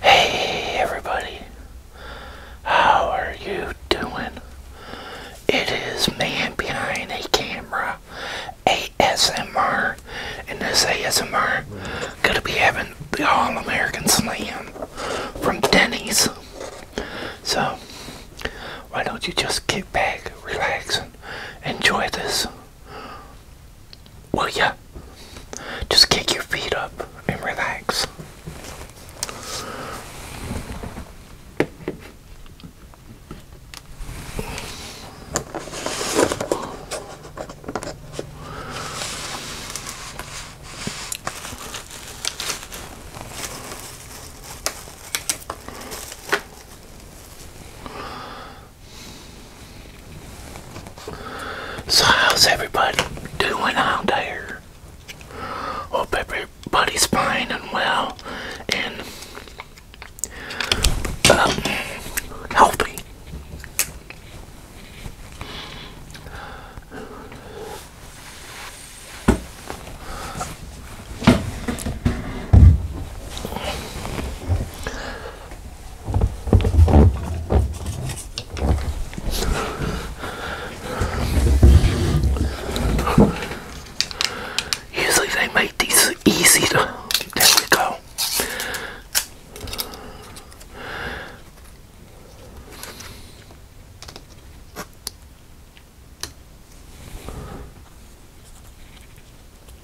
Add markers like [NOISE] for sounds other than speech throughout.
Hey everybody, how are you doing? It is Man Behind a Camera ASMR, and this ASMR gonna be having the All American Slam from Denny's. So, why don't you just kick back, relax, and enjoy this? Will ya? Just kick your feet up and relax. So how's everybody doing out there? Hope everybody's fine and well and um, healthy. Usually they make these easy to, there we go.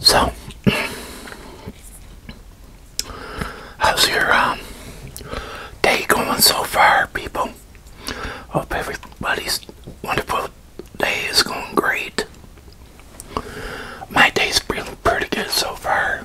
So, how's your um, day going so far, people? Hope everybody's wonderful day is going great. My day's been pretty good so far.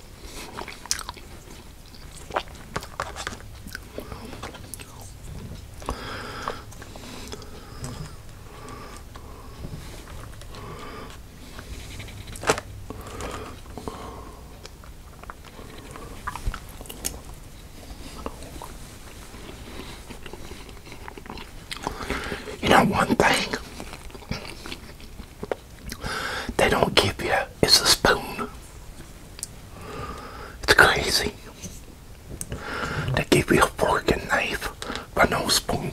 You know, one thing they don't give you It's a spoon. It's crazy. They give you a fork and knife, but no spoon.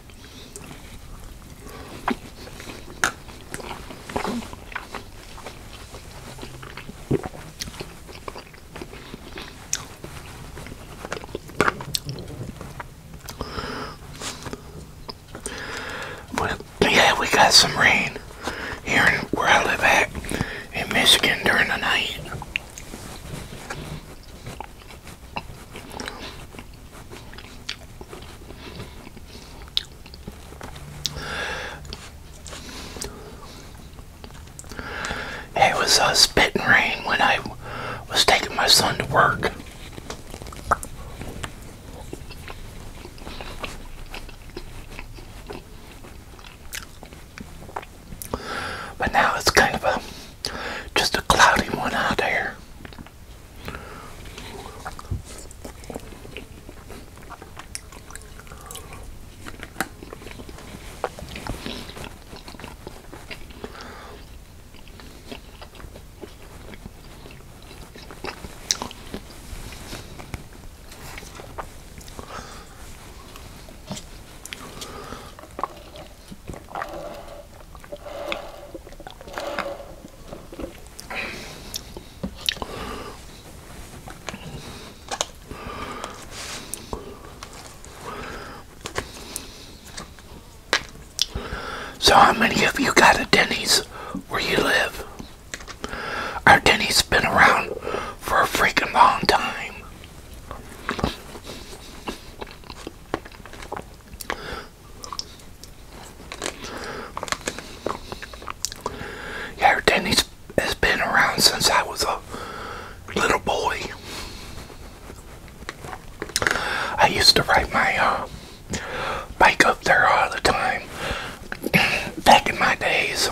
But yeah, we got some rain here in, where I live at in Michigan during the night. It was a uh, spitting rain when I was taking my son to work. But now it's kind of a just a cloudy one out there. So how many of you got a Denny's where you live? Our Denny's been around for a freaking long time. Yeah, Denny's has been around since I was a little boy. I used to ride my uh, bike up there all the time. [CLEARS THROAT] Back in my days,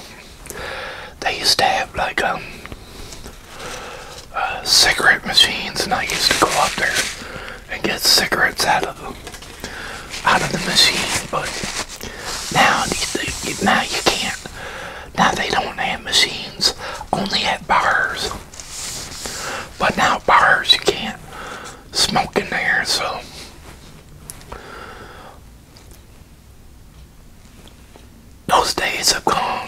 they used to have like um, cigarette machines, and I used to go up there and get cigarettes out of them, out of the machine. But now, now you can't. Now they don't have machines, only at bars. But now bars you can't smoke in there, so. Those days are gone.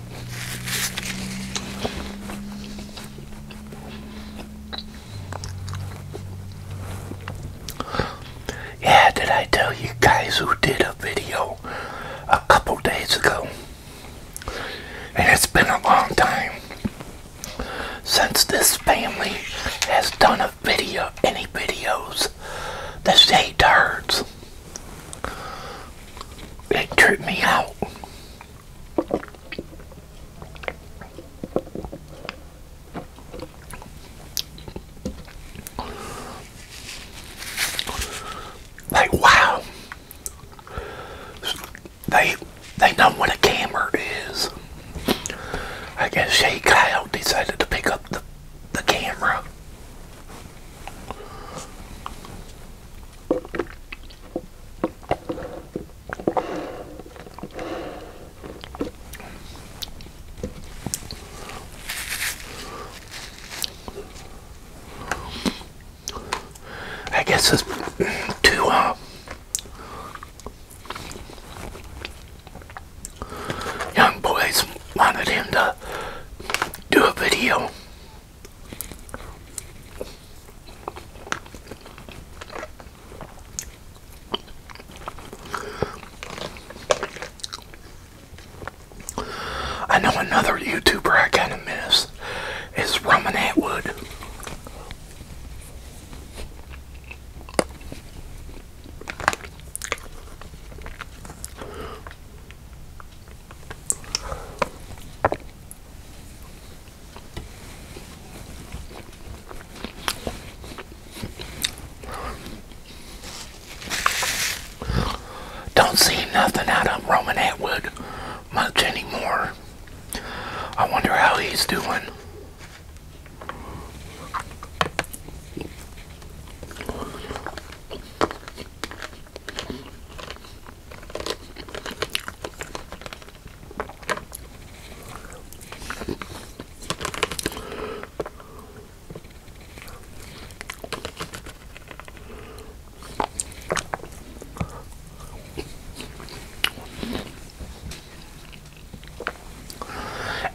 Yeah, did I tell you guys who did a video a couple days ago? And it's been a long time since this family has done a video, any videos, the Shatards. It tripped me out. Like wow. They they know what a camera is. I guess Shay Kyle decided to pick up the the camera. I guess it's two uh, young boys wanted him to do a video I know another YouTuber I kind of miss is Roman Atwood. Don't see nothing out of Roman Atwood much anymore. I wonder how he's doing.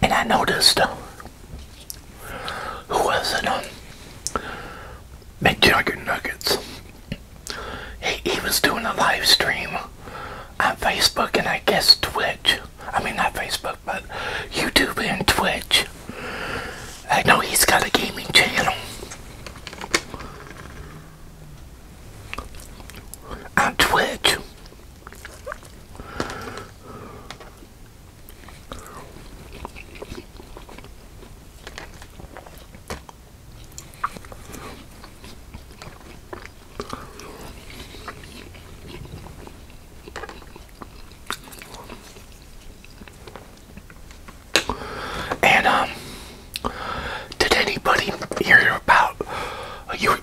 And I noticed who was it? McJugger Nuggets. He, he was doing a live stream on Facebook and I guess Twitch. I mean, not Facebook, but YouTube and Twitch. I know he's got a gaming channel on Twitch. And um, did anybody hear about uh, you?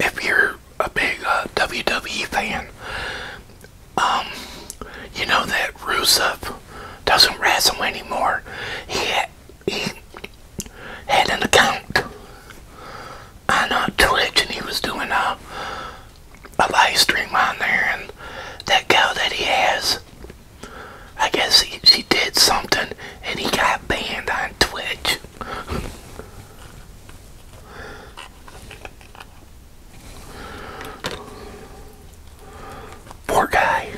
If you're a big uh, WWE fan, um, you know that Rusev doesn't wrestle anymore. He had, he had an account on uh, Twitch and he was doing a, a live stream on there and that girl that he has, I guess he, she did something and he got banned on Twitch. Poor guy.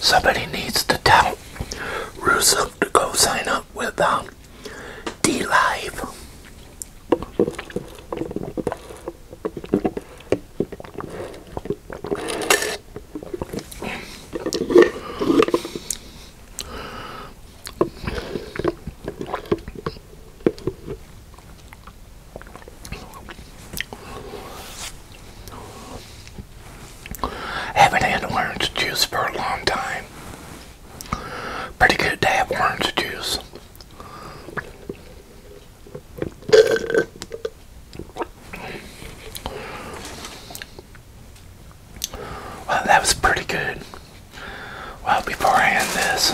Somebody needs to tell Russo to go sign up with um, D Live. Haven't had orange juice for a long time. Pretty good to have orange juice. Well, that was pretty good. Well, before I end this,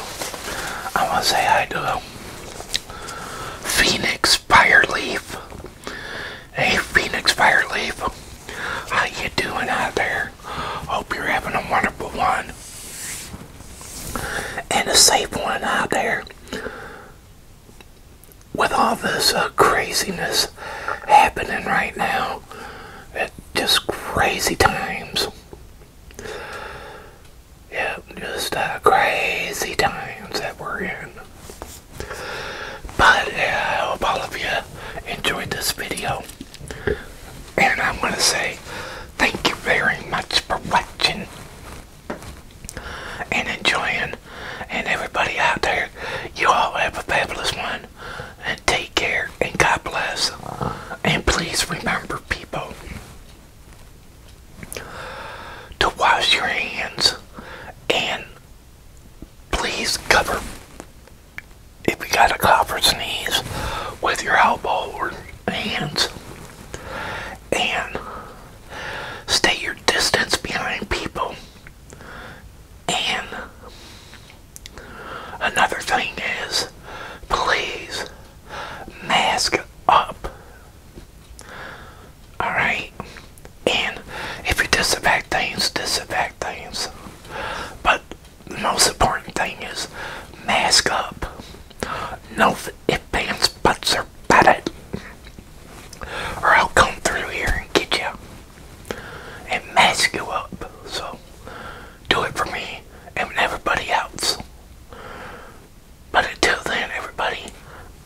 I want to say hi to um, Phoenix Fireleaf. Hey, Phoenix Fireleaf, how you doing out there? Hope you're having a wonderful one and a safe one out there with all this uh, craziness happening right now, it just crazy times. Yeah, just uh, crazy times that we're in. But yeah, I hope all of you enjoyed this video. And I want to say thank you very much for watching and enjoying. And everybody out there, you all have a fabulous one. And take care and God bless. And please remember, people, to wash your hands and please cover if you got a cough or sneeze with your elbow or hands. And stay your distance behind people. And another thing is, please mask up. Alright? And if you disinfect things, disinfect things. But the most important thing is mask up. No ifs, ands, buts, or bet it or I'll come through here and get you and mask you up. So do it for me and everybody else. But until then, everybody,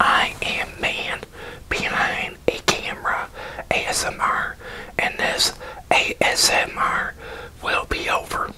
I am man behind a camera ASMR, and this ASMR will be over.